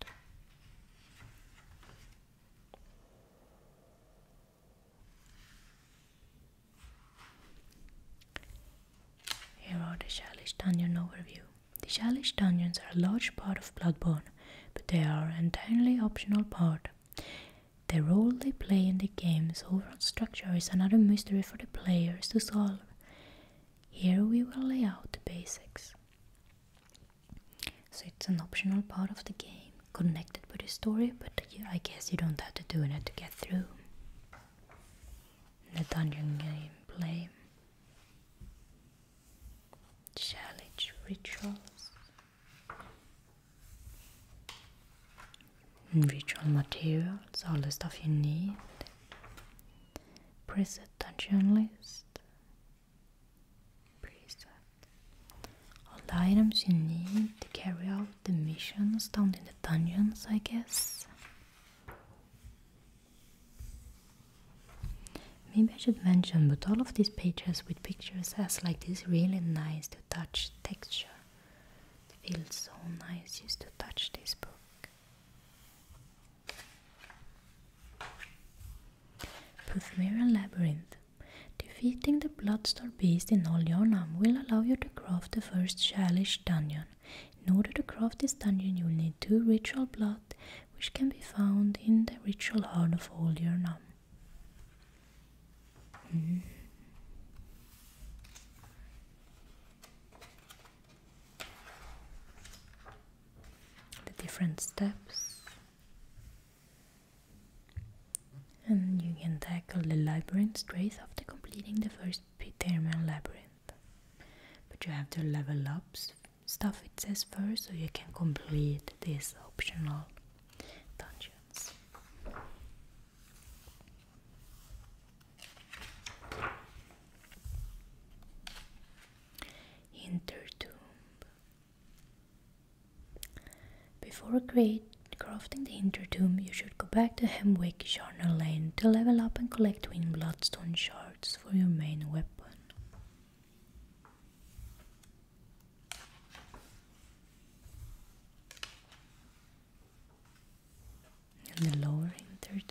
Here are the Shalish Dungeon overview. The Shalish Dungeons are a large part of Bloodborne, but they are an entirely optional part. The role they play in the game's overall structure is another mystery for the players to solve. Here we will lay out the basics. So it's an optional part of the game, connected with the story, but I guess you don't have to do it to get through the dungeon gameplay, challenge rituals, ritual materials, all the stuff you need, preset dungeon list, preset, all the items you need to carry out the missions down in the dungeons, I guess. Maybe I should mention, but all of these pages with pictures has like this really nice to touch texture. It feels so nice just to touch this book. Puthmira Labyrinth. Defeating the Bloodstar Beast in All Olionam will allow you to craft the first Shalish dungeon. In order to craft this dungeon, you will need two ritual blood, which can be found in the ritual hall of Old Mm. The different steps, and you can tackle the labyrinth straight after completing the first Spiderman Labyrinth. But you have to level up stuff it says first so you can complete this optional dungeons. Intertomb. Before create crafting the Inter you should go back to Hemwick Charnel Lane to level up and collect twin bloodstone shards for your main weapon. In the lower Inter You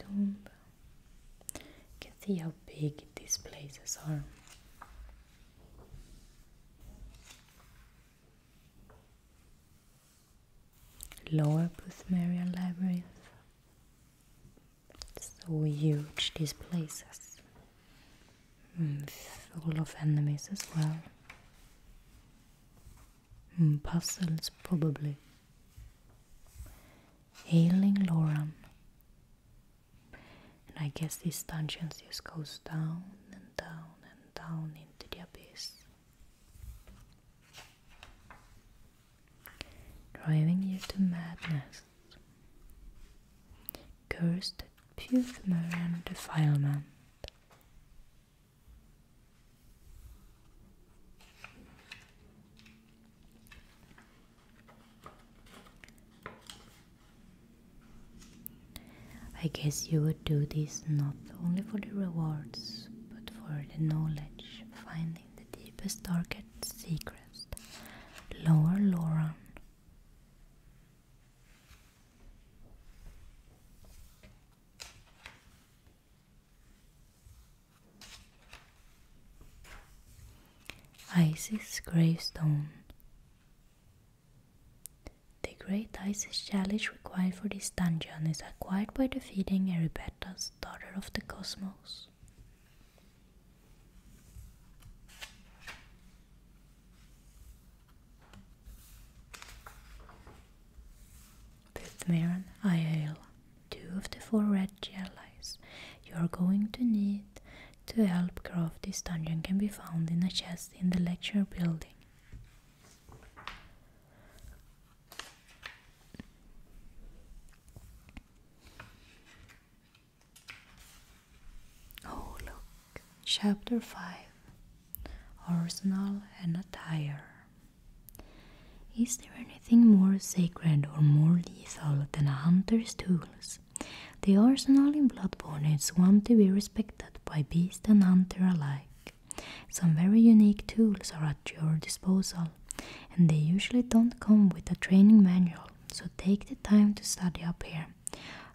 can see how big these places are. Lower Boothmerian Labyrinth. So huge, these places. Mm, full of enemies as well. Hmm, puzzles, probably. Ailing Loran. And I guess these dungeons just goes down and down and down into the abyss driving you to madness, cursed at and defilement. I guess you would do this not only for the rewards, but for the knowledge, finding the deepest, darkest secrets. Lower Lauren. Isis Gravestone. The Great Isis Challenge required for this dungeon is acquired by defeating Erebetta's Daughter of the Cosmos. Fifth Maron, two of the four red allies you are going to need to help craft this dungeon can be found in a chest in the lecture building. Oh, look, Chapter 5 Arsenal and Attire. Is there anything more sacred or more lethal than a hunter's tools? The arsenal in Bloodborne is one to be respected by beast and hunter alike. Some very unique tools are at your disposal, and they usually don't come with a training manual, so take the time to study up here.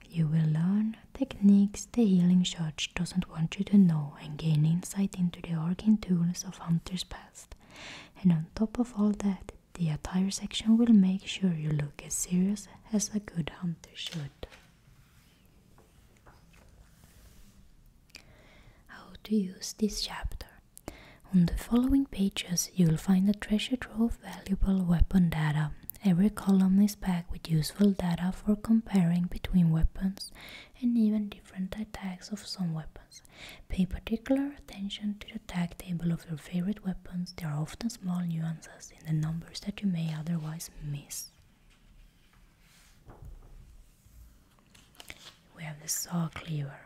You will learn techniques the Healing Church doesn't want you to know and gain insight into the arcane tools of Hunter's past. And on top of all that, the attire section will make sure you look as serious as a good hunter should. How to use this chapter. On the following pages, you'll find a treasure trove of valuable weapon data. Every column is packed with useful data for comparing between weapons and even different attacks of some weapons. Pay particular attention to the tag table of your favorite weapons, there are often small nuances in the numbers that you may otherwise miss. We have the saw cleaver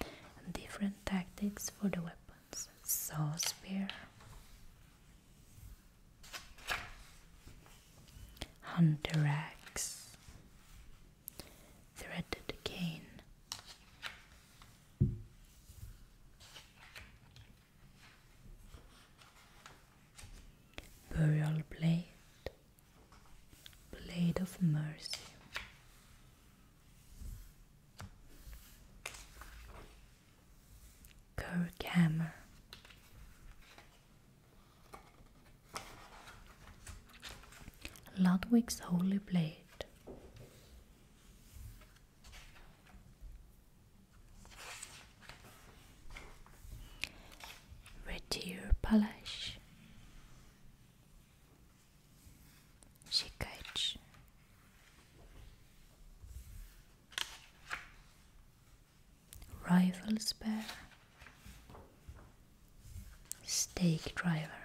and different tactics for the weapons. Saw spear, hunter axe, threaded cane. Burial Blade, Blade of Mercy. Kirk Hammer, Ludwig's Holy Blade, Red Deer Palace Şikayetçi Rival Spare Stake Driver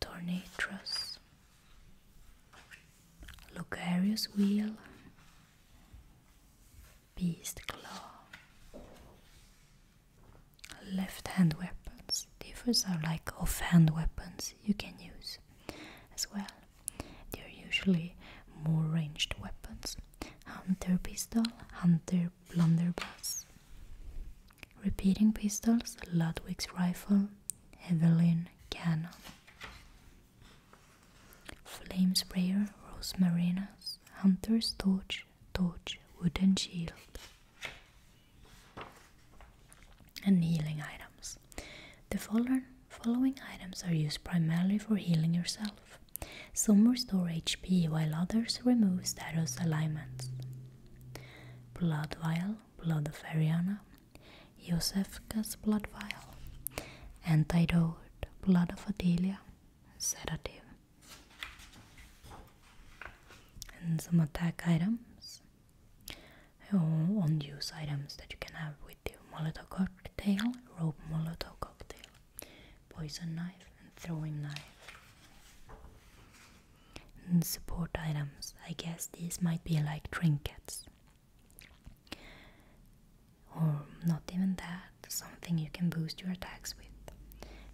Tornatros Lucarius Wheel, Beast Claw. Left hand weapons. Differs are like off hand weapons you can use as well. They are usually more ranged weapons. Hunter pistol, hunter blunderbuss. Repeating pistols, Ludwig's rifle, Evelyn, cannon. Flame sprayer, rose marinas, hunter's torch, torch, wooden shield. And healing items. The following items are used primarily for healing yourself. Some restore HP while others remove status alignments. Blood vial, blood of Ariana, Josephus' blood vial, antidote, blood of Adelia, sedative. And some attack items, oh, on unused items that you can have with you Molotov cocktail, rope Molotov cocktail, poison knife, and throwing knife support items. I guess these might be like trinkets. Or not even that, something you can boost your attacks with.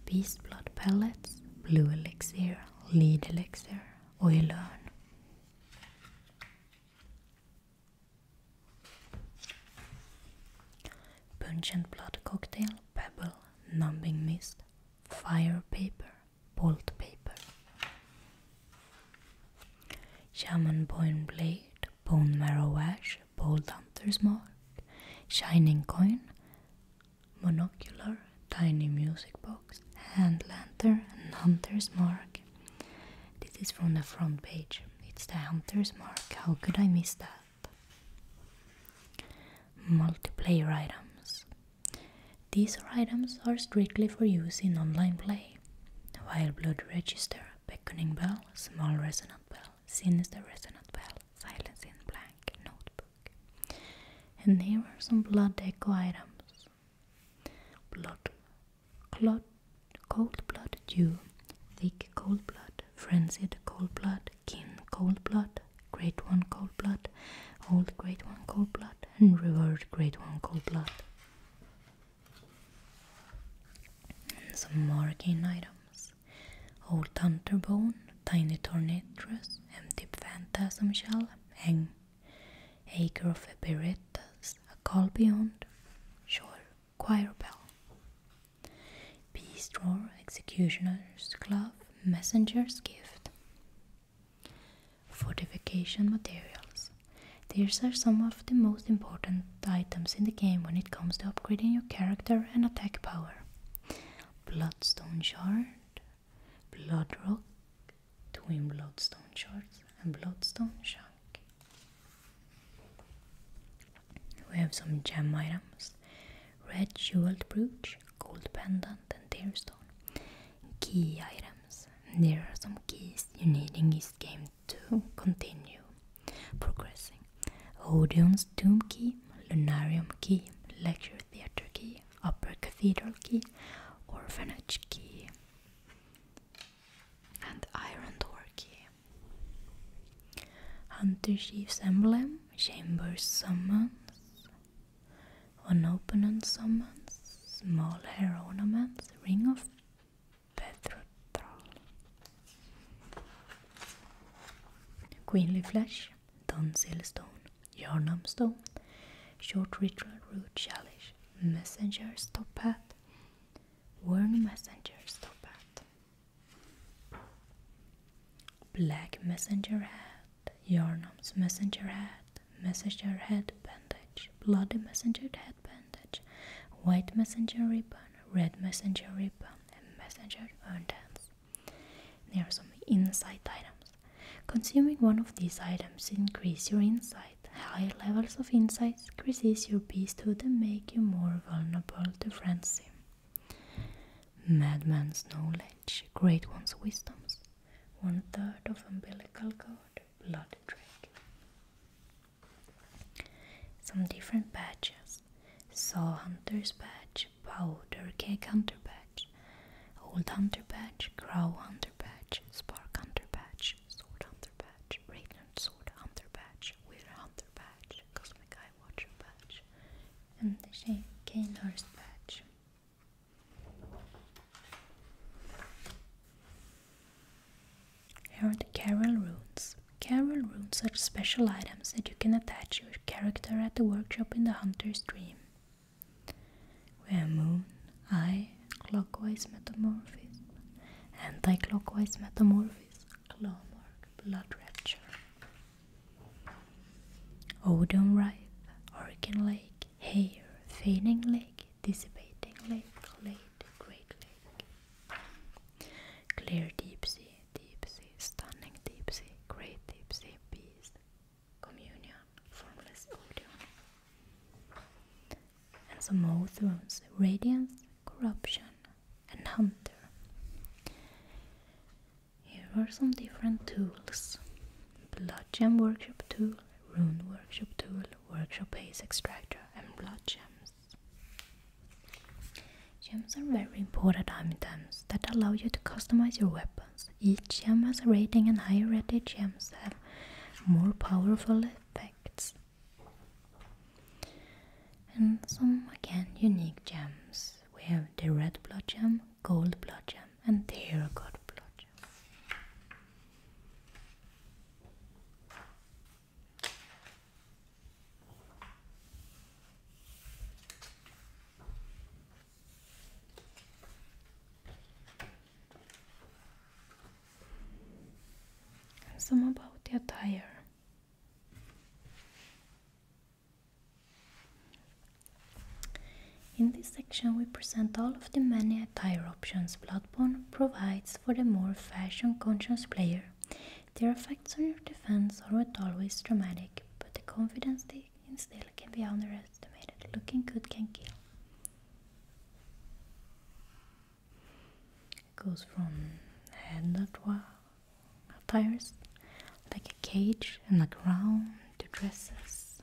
Beast blood pellets, blue elixir, lead elixir, oil urn. Pungent blood cocktail, pebble, numbing mist, fire paper, bolt paper. Shaman bone Blade, Bone Marrow Ash, Bold Hunter's Mark, Shining Coin, Monocular, Tiny Music Box, Hand Lantern, and Hunter's Mark. This is from the front page. It's the Hunter's Mark. How could I miss that? Multiplayer items. These items are strictly for use in online play, while Blood Register, Beckoning Bell, Small Resonant Bell, Sinister Resonant Bell, Silence in Blank, Notebook. And here are some Blood Echo items. Blood, clot, Cold Blood Dew, Thick Cold Blood, Frenzied Cold Blood, Kin Cold Blood, Great One Cold Blood, Old Great One Cold Blood, and Reward Great One Cold Blood. some more gain items. Old Hunter Bone, Tiny Tornatrus, Empty Phantasm Shell, Hang, Acre of Epiritus, A Call Beyond, Shore, Choir Bell. Peace Drawer, Executioner's Glove, Messenger's Gift, Fortification materials. These are some of the most important items in the game when it comes to upgrading your character and attack power. Bloodstone shard, blood rock, twin bloodstone shards, and bloodstone shank. We have some gem items. Red jeweled brooch, gold pendant and tearstone. Key items there are some keys you need in this game to continue progressing. Odeon's Doom Key, Lunarium Key, Lecture Theatre Key, Upper Cathedral Key, Orphanage Key, and Iron Door Key. Hunter Chief's Emblem, Chamber's Summons, one open on summons, small hair ornaments, ring of Petrotral. Queenly flesh, Dunsil stone, Yarnum stone, short ritual root chalice, messenger's top hat, worn messenger's top hat. Black messenger hat, Yarnum's messenger hat, messenger head bandage, bloody messenger head bandage, white messenger ribbon, red messenger ribbon, and messenger urns. There are some insight items. Consuming one of these items increase your insight. High levels of insight increases your beasthood and make you more vulnerable to frenzy. Madman's knowledge, great one's wisdoms. One third of umbilical cord, Blood Drake. Some different badges Saw Hunter's Badge, Powder Cake Hunter Badge, Old Hunter Badge, Crow Hunter Badge, Spark Hunter Badge, Sword Hunter Badge, Radiant Sword Hunter Badge, Wither Hunter Badge, Cosmic Eye Watcher Badge, and the Kanehurst Badge. Here are the Carol runes. Carol runes are special items that you can attach your character at the workshop in the Hunter's Dream. Where Moon, Eye, Clockwise Metamorphism, Anti-Clockwise claw mark, Blood Rapture, Odom rite, Hurricane Lake, lake, hair, feigning lake, dissipating lake, late, great lake. Clear deep sea, deep sea, stunning deep sea, great deep sea, peace, communion, formless odeon. And some more thrones, radiance, corruption, and hunter. Here are some different tools. Bludgeon workshop tool, Rune Workshop Tool, Workshop base Extractor and Blood Gems. Gems are very important items that allow you to customize your weapons. Each gem has a rating and higher rated gems have more powerful effects. And some again unique gems. We have the red blood gem, gold blood gem and the god blood some about the attire. In this section we present all of the many attire options Bloodborne provides for the more fashion-conscious player. Their effects on your defense aren't always dramatic, but the confidence they instill can be underestimated. Looking good can kill. It goes from hand attires, like a cage and a crown, to dresses,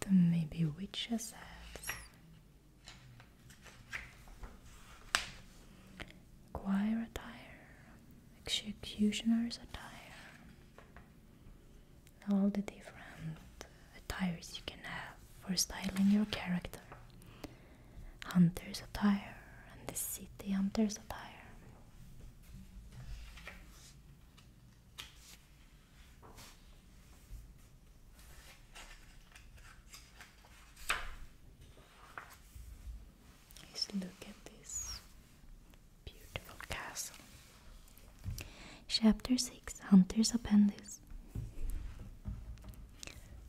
the maybe witches hats. Choir attire, executioner's attire, all the different attires you can have for styling your character hunter's attire and the city hunter's attire. Just look at this beautiful castle. Chapter 6 Hunter's Appendix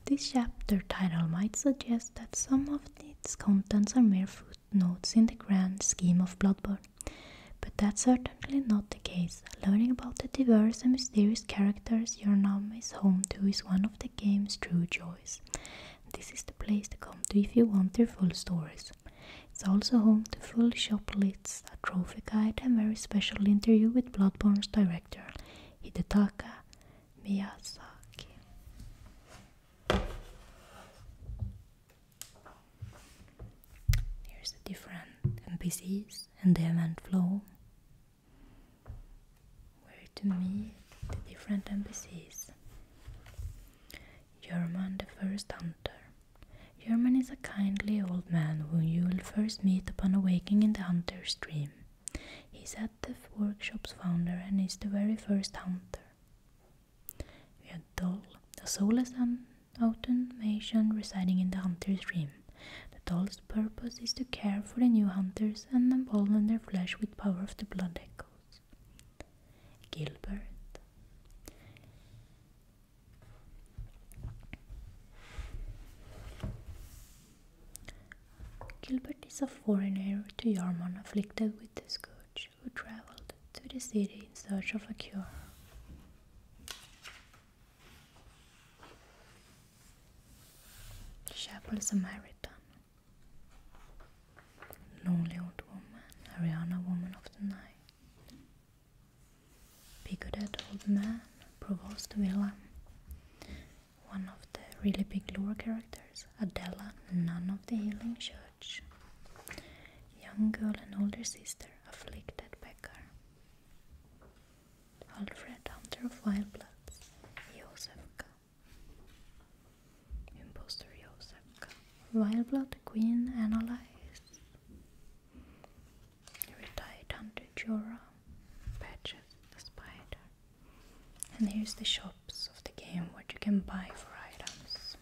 this chapter title might suggest that some of its contents are mere footnotes in the grand scheme of Bloodborne, but that's certainly not the case. Learning about the diverse and mysterious characters your Yornam is home to is one of the game's true joys. This is the place to come to if you want their full stories. It's also home to full shop lists, a trophy guide, and a very special interview with Bloodborne's director, Hidetaka Miyazaki. Here's the different NPCs and the event flow. Where to meet the different NPCs. German the first hunter. German is a kindly old man whom you will first meet upon awaking in the hunter's dream. He is Adef Workshop's founder and is the very first hunter. The doll, Dol, a soulless automation residing in the hunter's dream. The doll's purpose is to care for the new hunters and embolden their flesh with power of the blood echoes. Gilbert Gilbert is a foreigner to Yarmon afflicted with the scourge, who traveled to the city in search of a cure. Chapel Samaritan Lonely old woman, Ariana woman of the night Bigoted old man, provost villain one of the really big lore characters, Adela, none of the Healing Church. Young girl and older sister, afflicted Becker, Alfred, hunter of wild bloods, Josefka. Imposter Josefka. Wild blood queen analyzed. Retired hunter Jorah. Patches the spider. And here's the shops of the game, what you can buy for items.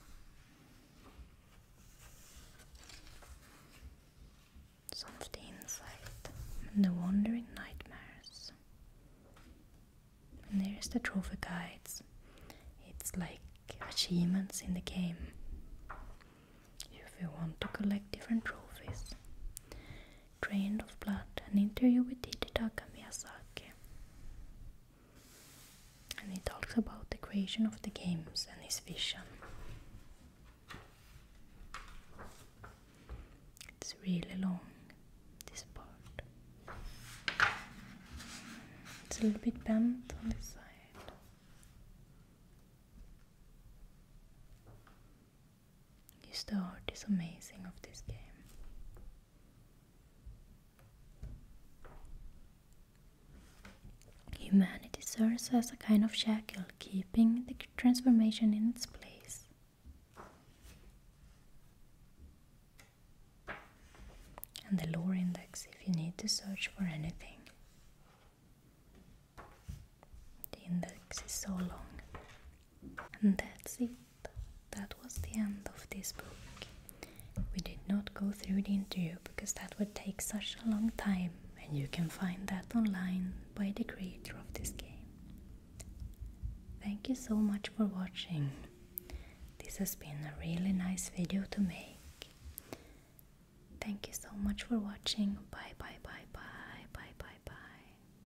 Some of the insight and the wandering nightmares. And there's the trophy guides. It's like achievements in the game. If you want to collect different trophies. Drained of Blood, an interview with Hidetaka Miyazaki. And he talks about the creation of the games and his vision. It's really long, this part. It's a little bit bent on the side. You start art is amazing of this game. Humanity serves as a kind of shackle, keeping the transformation in its place. And the lore index if you need to search for anything. The index is so long. And that's it that was the end of this book. We did not go through the interview because that would take such a long time, and you can find that online by the creator of this game. Thank you so much for watching. This has been a really nice video to make. Thank you so much for watching. Bye bye bye bye bye bye bye.